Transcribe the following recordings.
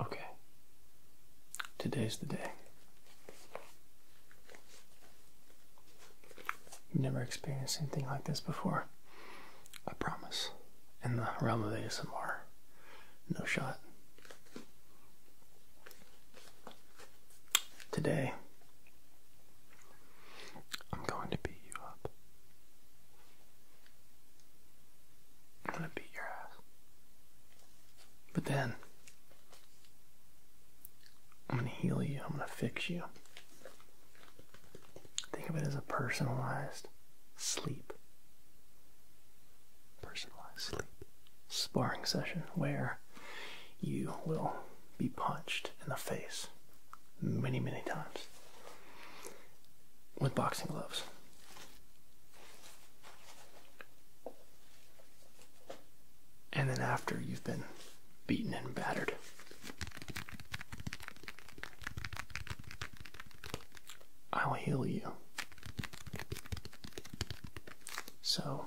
Okay, today's the day. You've never experienced anything like this before, I promise. In the realm of ASMR, no shot. Today, I'm going to beat you up. I'm going to beat your ass. But then, I'm going to heal you. I'm going to fix you. Think of it as a personalized sleep personalized sparring session where you will be punched in the face many, many times with boxing gloves. And then, after you've been beaten and battered, I will heal you. So,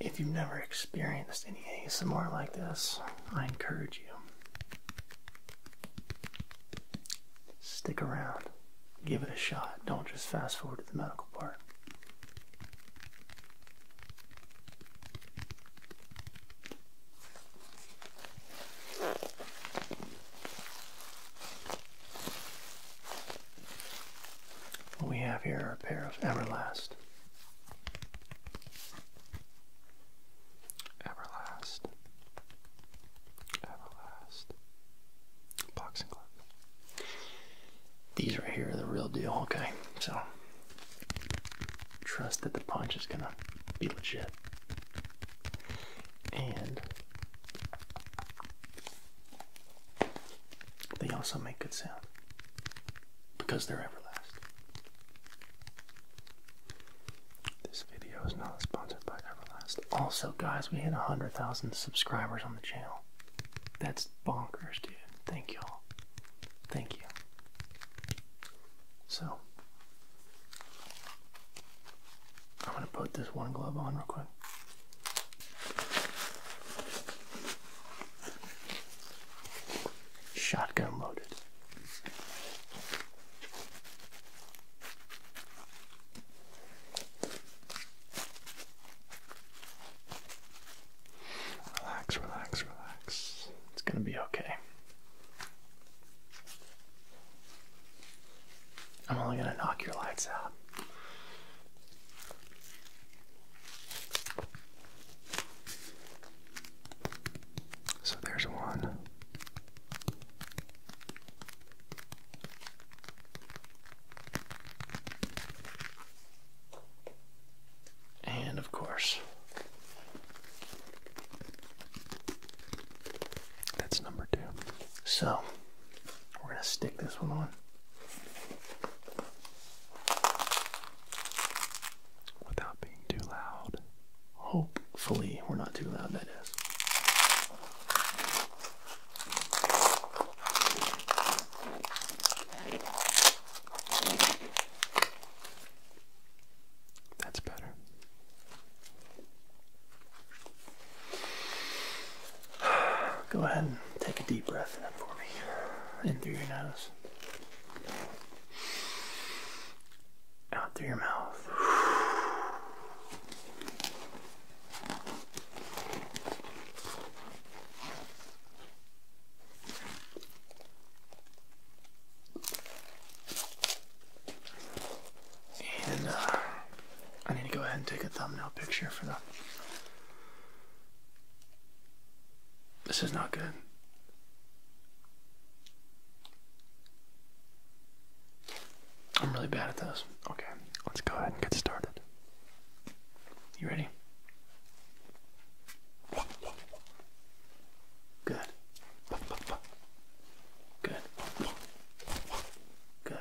if you've never experienced any ASMR like this, I encourage you. Stick around. Give it a shot. Don't just fast forward to the medical part. What we have here are a pair of Everlast. Everlast. Everlast. Boxing gloves. These right here are the real deal, okay? So, trust that the punch is gonna be legit. And they also make good sound because they're everlasting. This video is not sponsored by Everlast. Also, guys, we hit 100,000 subscribers on the channel. That's bonkers, dude. Thank y'all. Thank you. So, I'm gonna put this one glove on real quick. Shotgun loaded. Relax, relax, relax. It's gonna be okay. I'm only going to knock your lights out. So there's one. And of course, that's number two. So we're going to stick this one on without being too loud. Hopefully, we're not too loud, that is. That's better. Go ahead and take a deep breath in for me. In through your nose. Out through your mouth. And uh, I need to go ahead and take a thumbnail picture for the. This is not good. I'm really bad at those. Okay, let's go ahead and get started. You ready? Good. Good. Good.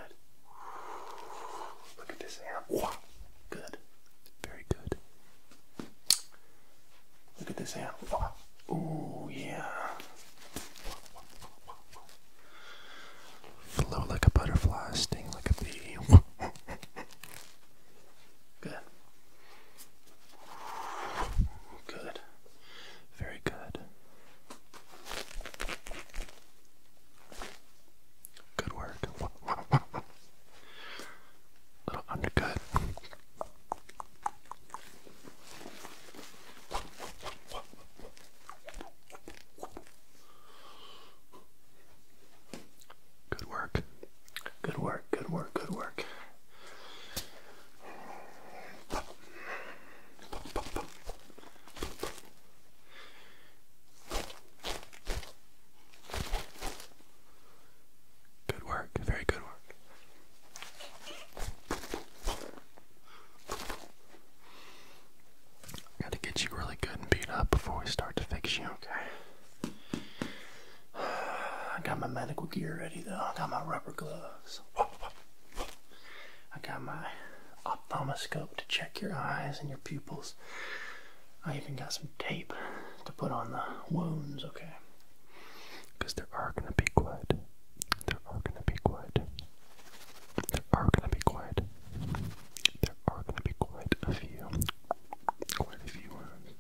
Look at this amp. Good. Very good. Look at this amp. Oh yeah. Flow like a butterfly, sting like a bee. Good. Good. Very good. Good work. Little undercut. Good work. Good work, good work, good work. Good work, very good work. Gotta get you really good and beat up before we start to fix you, okay? I got my medical gear ready though. I got my rubber gloves. I got my ophthalmoscope to check your eyes and your pupils. I even got some tape to put on the wounds, okay? Because there are going to be quite. There are going to be quite. There are going to be quite. There are going to be quite a few. Quite a few wounds.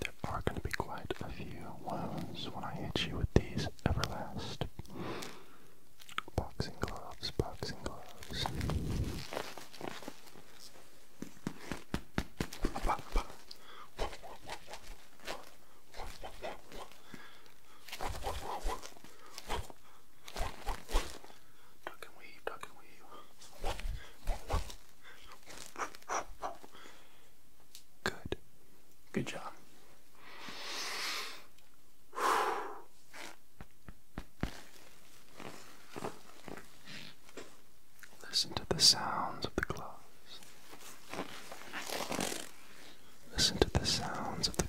There are going to be quite a few wounds when I hit you with these Everlast Boxing gloves, boxing gloves. Duck weave, duck weave. Good. Good job. Listen to the sounds of the gloves. Listen to the sounds of the gloves.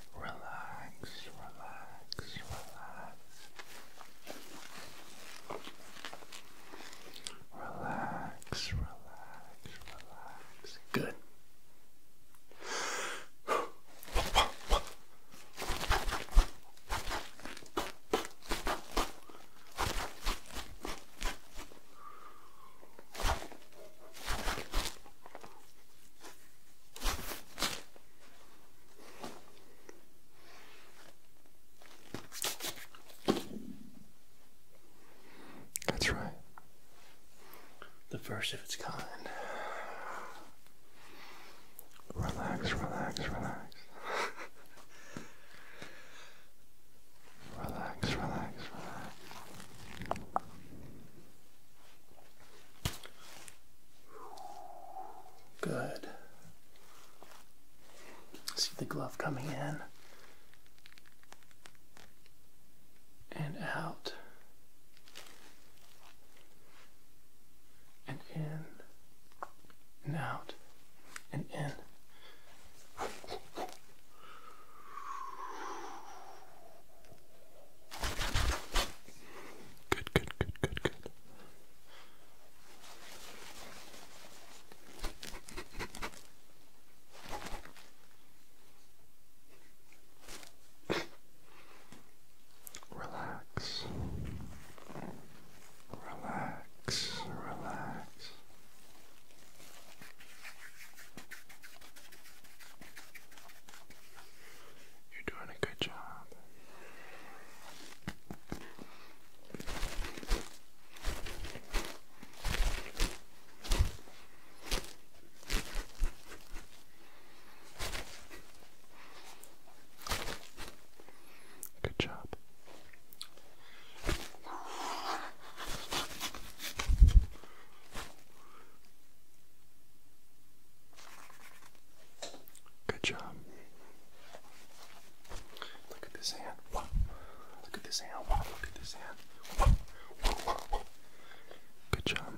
relax, relax, relax. Relax, relax, relax. Good. That's right. The first of its kind. Relax, relax, relax. relax, relax, relax. Good. See the glove coming in and out and in and out and in. Good, good, good, good, good. Relax. Relax. Relax. You're doing a good job. Good job. Good job. Look at this hand. Look at this hand. Look at this hand. Good job.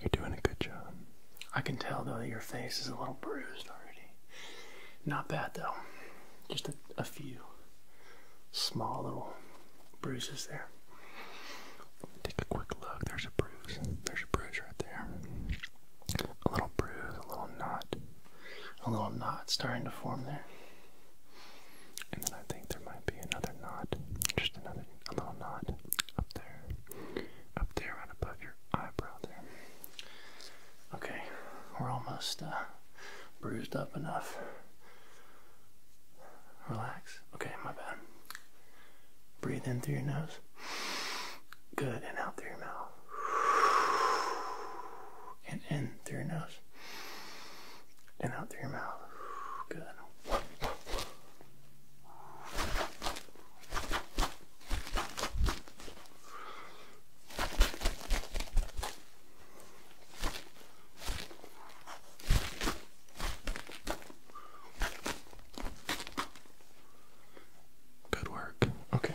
You're doing a good job. I can tell though that your face is a little bruised already. Not bad though. Just a, few small little bruises there. Take a quick look. There's a bruise. There's a bruise right there. A little bruise, a little knot, a little knot starting to form there. And then I think there might be another knot, just another a little knot up there up there, right above your eyebrow there. Okay, we're almost uh, bruised up enough. Relax. Okay, my bad. Breathe in through your nose. Good, and out through your mouth. And in through your nose. And out through your mouth. Good. Good work. Okay.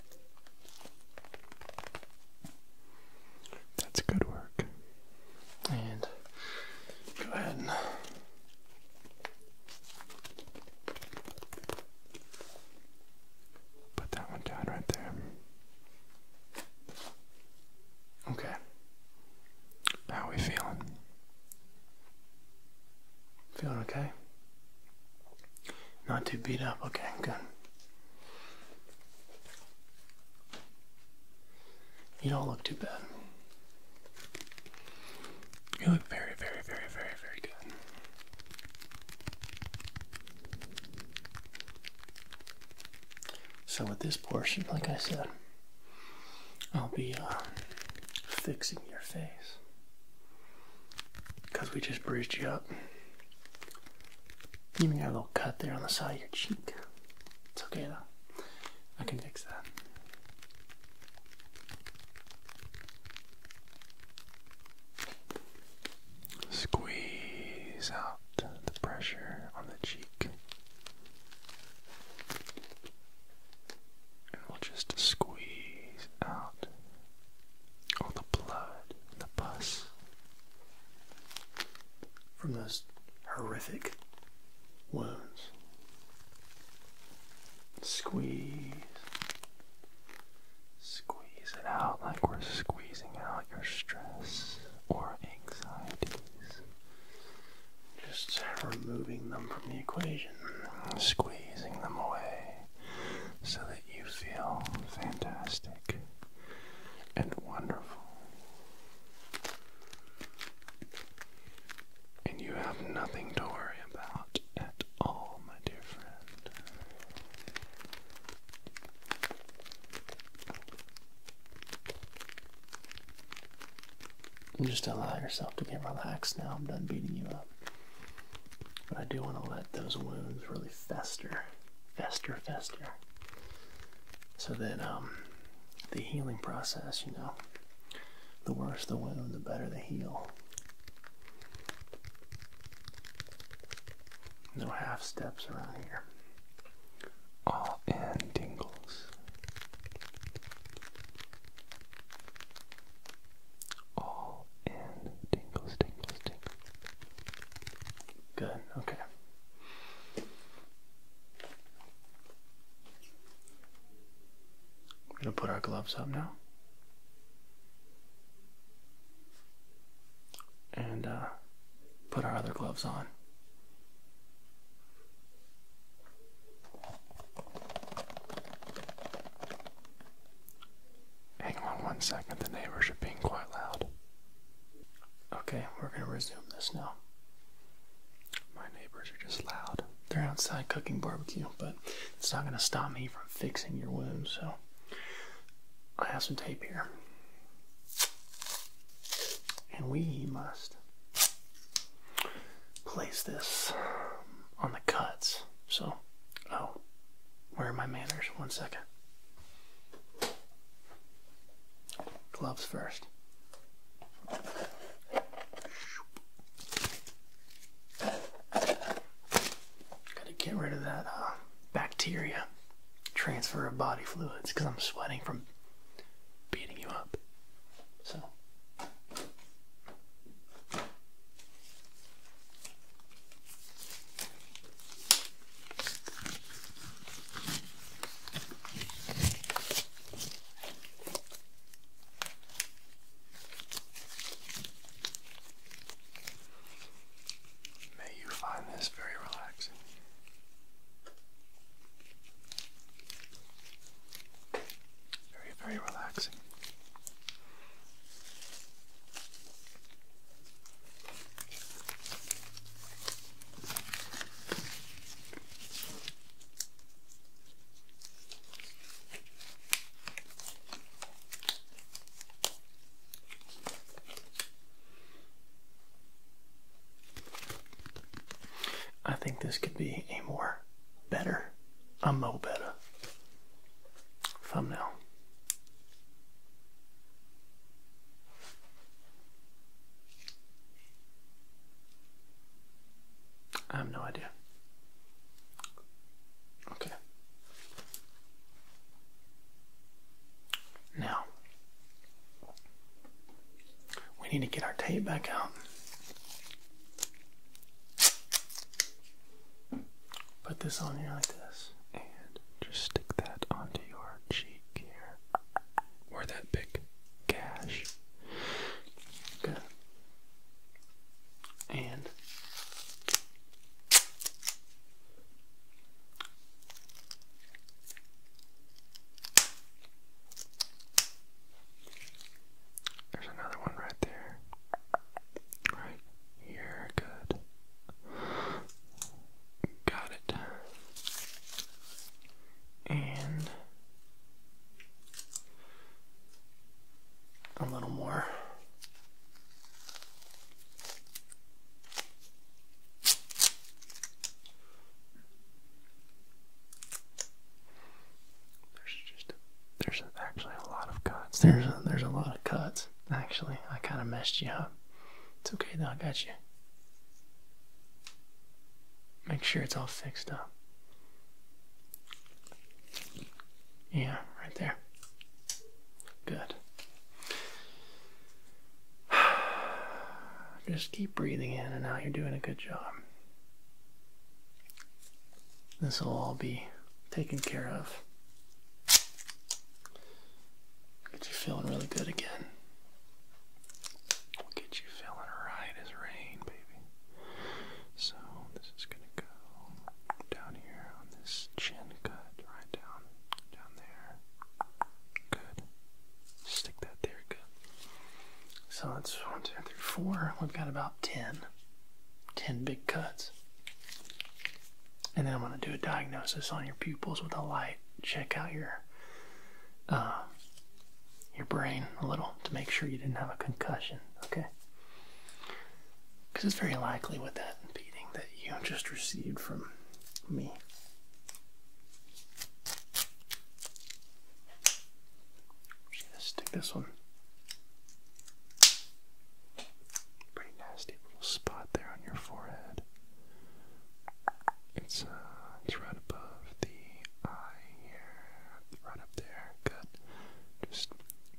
That's good work. And go ahead and put that one down right there. Okay. How are we feeling? Feeling okay? Not too beat up. Okay, good. You don't look too bad. You look very, very, very, very, very good. So, with this portion, like I said, I'll be uh, fixing your face because we just bruised you up. You even got a little cut there on the side of your cheek. It's okay though. I can fix that. Squeeze out the pressure on the cheek. And we'll just squeeze out all the blood and the pus from those horrific wounds. Squeeze. Squeeze it out like we're squeezing out your stress or anxieties. Just removing them from the equation, squeezing them away so that you feel fantastic and wonderful. And you have nothing to worry about at all, my dear friend. Just allow yourself to get relaxed now. I'm done beating you up. But I do want to let those wounds really fester, fester, fester so that um, the healing process, you know, the worse the wound, the better the heal. No half steps around here. All in tingles. All in tingles, tingles, tingles. Good, okay. We're going to put our gloves up now. And uh, put our other gloves on. Hang on one second, the neighbors are being quite loud. Okay, we're going to resume this now. My neighbors are just loud. They're outside cooking barbecue, but it's not going to stop me from fixing your wounds. so I have some tape here. And we must place this on the cuts. So, oh, where are my manners? One second. Gloves first. Got to get rid of that uh, bacteria transfer of body fluids because I'm sweating from beating you up. So. May you find this very relaxing. Very, very relaxing. I think this could be a more better, a mo better thumbnail. I have no idea. Okay. Now, we need to get our tape back out. Put this on here like this just stick that onto your cheek here. Or that big gash. Good. And there's another one right there. Right here, good. Got it. And a little more. There's just there's actually a lot of cuts. There's there's a lot of cuts actually. I kind of messed you up. It's okay, though. I got you. Make sure it's all fixed up. Yeah, right there. Good. Just keep breathing in and out. You're doing a good job. This will all be taken care of Get you feeling really good again. get you feeling right as rain, baby. So this is gonna go down here on this chin cut, right down, down there. Good. Stick that there, good. So that's one, two, three, four. We've got about ten, ten big cuts and then I'm going to do a diagnosis on your pupils with a light. Check out your uh, your brain a little to make sure you didn't have a concussion. Okay, because it's very likely with that beating that you just received from me. just stick this one. Pretty nasty little spot there on your forehead. It's uh, it's right above the eye here, right up there. Good. Just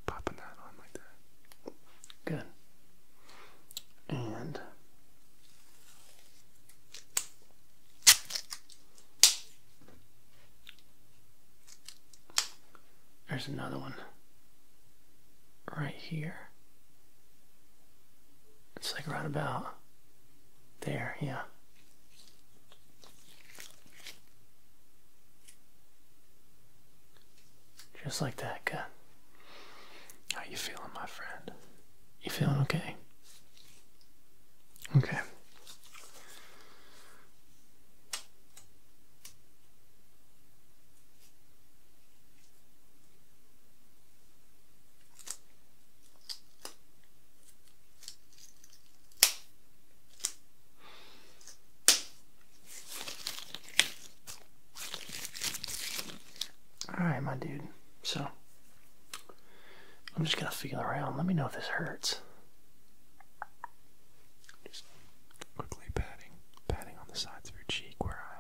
popping that on like that. Good. And there's another one right here. It's like right about there, yeah. Just like that, guy. How you feeling, my friend? You feeling okay? Okay. Alright, my dude. So, I'm just going to feel around. Let me know if this hurts. Just quickly patting, patting on the sides of your cheek where I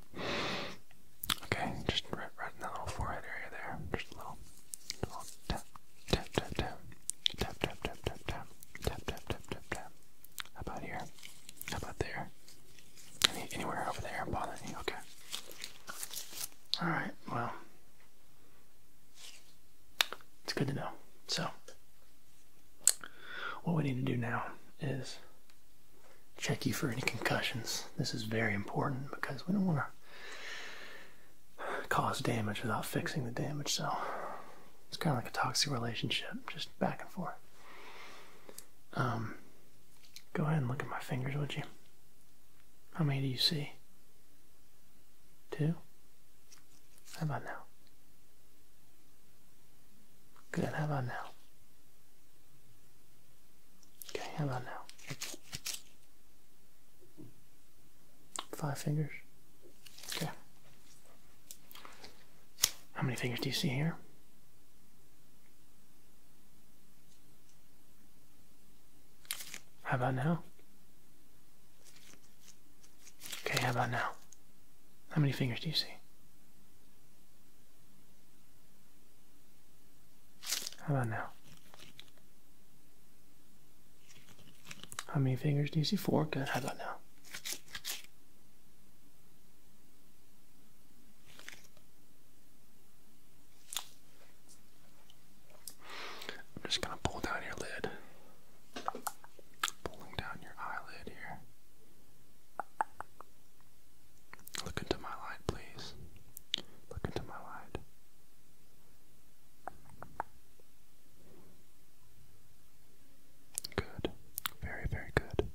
that. Okay, just right, right in that little forehead area there. Just a little, a little tap, tap, tap, tap, tap, tap, tap, tap, tap, tap, tap, tap, tap, tap. How about here? How about there? Any, anywhere over there bothering you? Okay. All right. Well, it's good to know. So, what we need to do now is check you for any concussions. This is very important because we don't want to cause damage without fixing the damage. So it's kind of like a toxic relationship, just back and forth. Um, go ahead and look at my fingers, would you? How many do you see? Two? How about now? Good, how about now? Okay, how about now? Five fingers. Okay. How many fingers do you see here? How about now? Okay, how about now? How many fingers do you see? How about now? How many fingers do you see? Four. Good. How about now? I'm just going to pull down your lid. Pulling down your eyelid here. Look into my light, please. Look into my light. Good. Very, very good.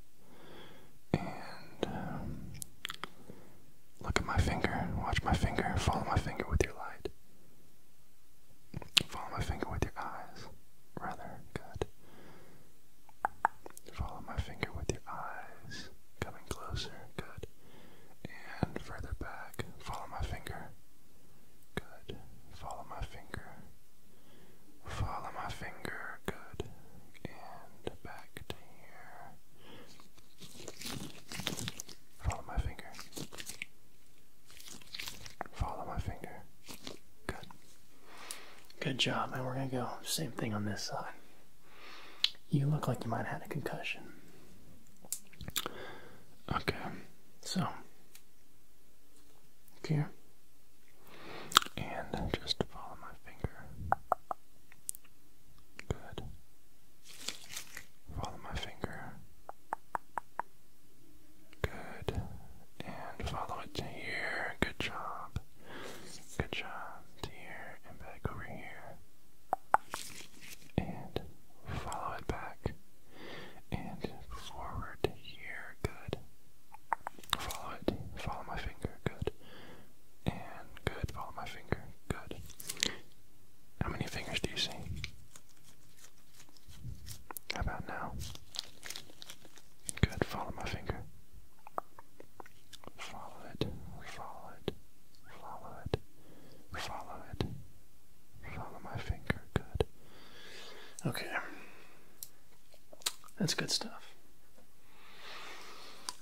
And um, look at my finger. Watch my finger. Follow my finger with your light. Follow my finger with your eyes. Rather good. Follow my finger with your eyes. Coming closer, good. And further back, follow my finger. Good. Follow my finger. Follow my finger, good. And back to here. Follow my finger. Follow my finger. Good. Good job, man. we're gonna go same thing on this side. You look like you might have had a concussion. Okay, so here, and just follow my finger. Good. Follow my finger. Good. And follow it here. Good job. Good job here and back over here. And follow it back. And forward here. Good. Follow it. Follow my finger. Good. And good. Follow my finger. Good. How many fingers do you see? How about now? Good. Follow my finger follow it, follow it, follow it, follow it, follow my finger, good. Okay, that's good stuff.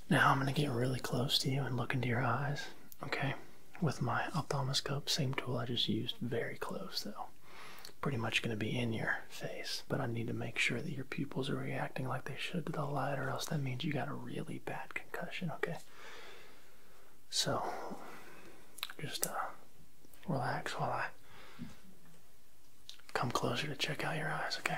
Now I'm going to get really close to you and look into your eyes, okay? With my ophthalmoscope, same tool I just used, very close though. Pretty much going to be in your face, but I need to make sure that your pupils are reacting like they should to the light, or else that means you got a really bad concussion, okay? So, just uh, relax while I come closer to check out your eyes, okay?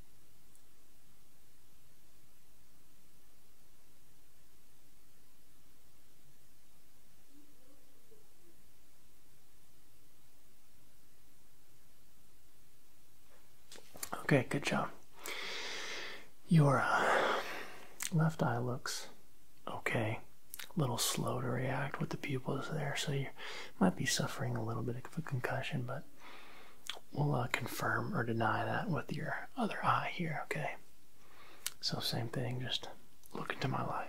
Okay, good job. Your uh, left eye looks okay. A little slow to react with the pupils there, so you might be suffering a little bit of a concussion, but we'll uh, confirm or deny that with your other eye here, okay? So, same thing, just look into my light.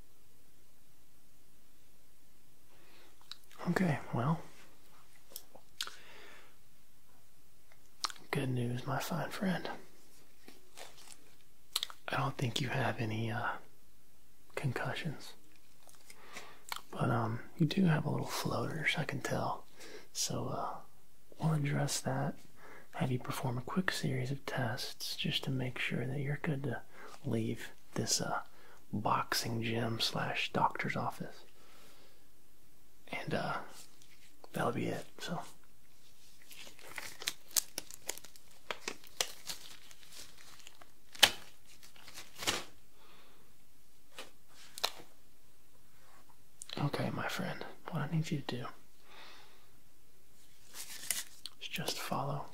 Okay, well, good news, my fine friend. I don't think you have any uh, concussions, but um, you do have a little floaters, I can tell. So uh, we'll address that. Have you perform a quick series of tests just to make sure that you're good to leave this uh, boxing gym slash doctor's office. And uh, that'll be it. So. Okay, my friend, what I need you to do is just follow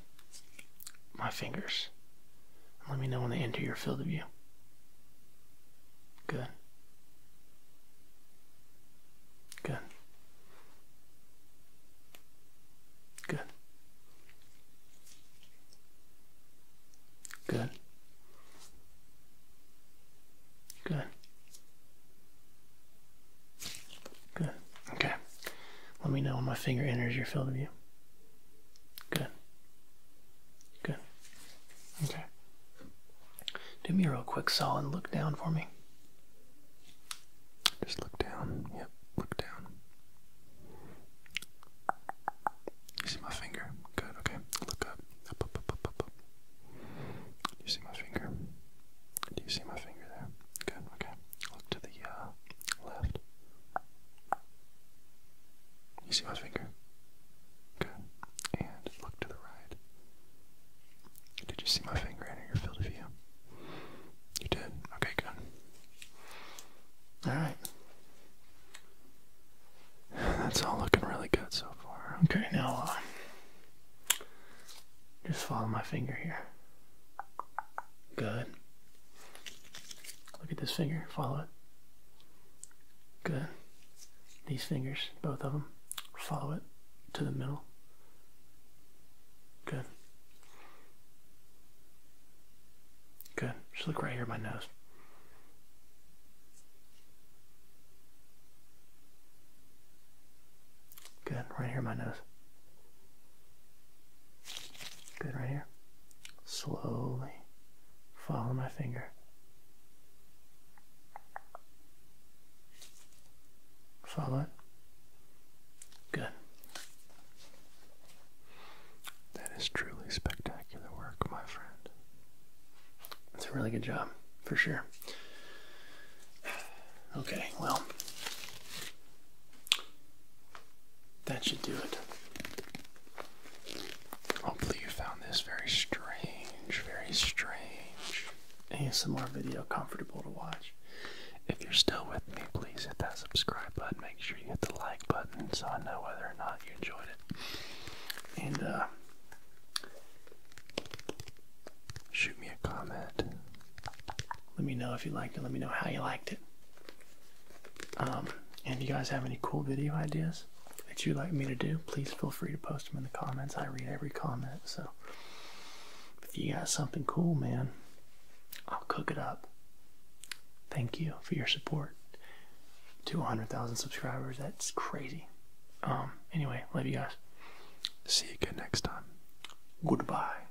my fingers let me know when they enter your field of view. Good. Good. Good. Good. Good. Good. Okay. Let me know when my finger enters your field of view. Good. Good. Okay. Do me a real quick solid look down for me. Just look down. Yep, look down. You see my finger? Good, okay. Look up. You see my finger? Do you see my finger there? Good, okay. Look to the uh, left. You see my finger? Good. And look to the right. Did you see my finger in your field of view? You did? Okay, good. Alright. That's all looking really good so far. Okay, now uh, just follow my finger here. Good. Look at this finger. Follow it. Good. These fingers, both of them, follow it to the middle. Good. Good. Just look right here at my nose. Good. Right here at my nose. Good right here. Slowly follow my finger. Follow it. Good. That is truly spectacular work, my friend. That's a really good job, for sure. Okay, well, that should do it. Hopefully, you found this very strange, very strange ASMR video comfortable to watch. If you're still with me, please hit that subscribe button. Make sure you hit the like button so I know whether or not you enjoyed it. And, uh, shoot me a comment. Let me know if you liked it. Let me know how you liked it. Um, and if you guys have any cool video ideas that you'd like me to do, please feel free to post them in the comments. I read every comment, so if you got something cool, man, I'll cook it up. Thank you for your support. 200,000 subscribers, that's crazy. Um, anyway, love you guys. See you again next time. Goodbye.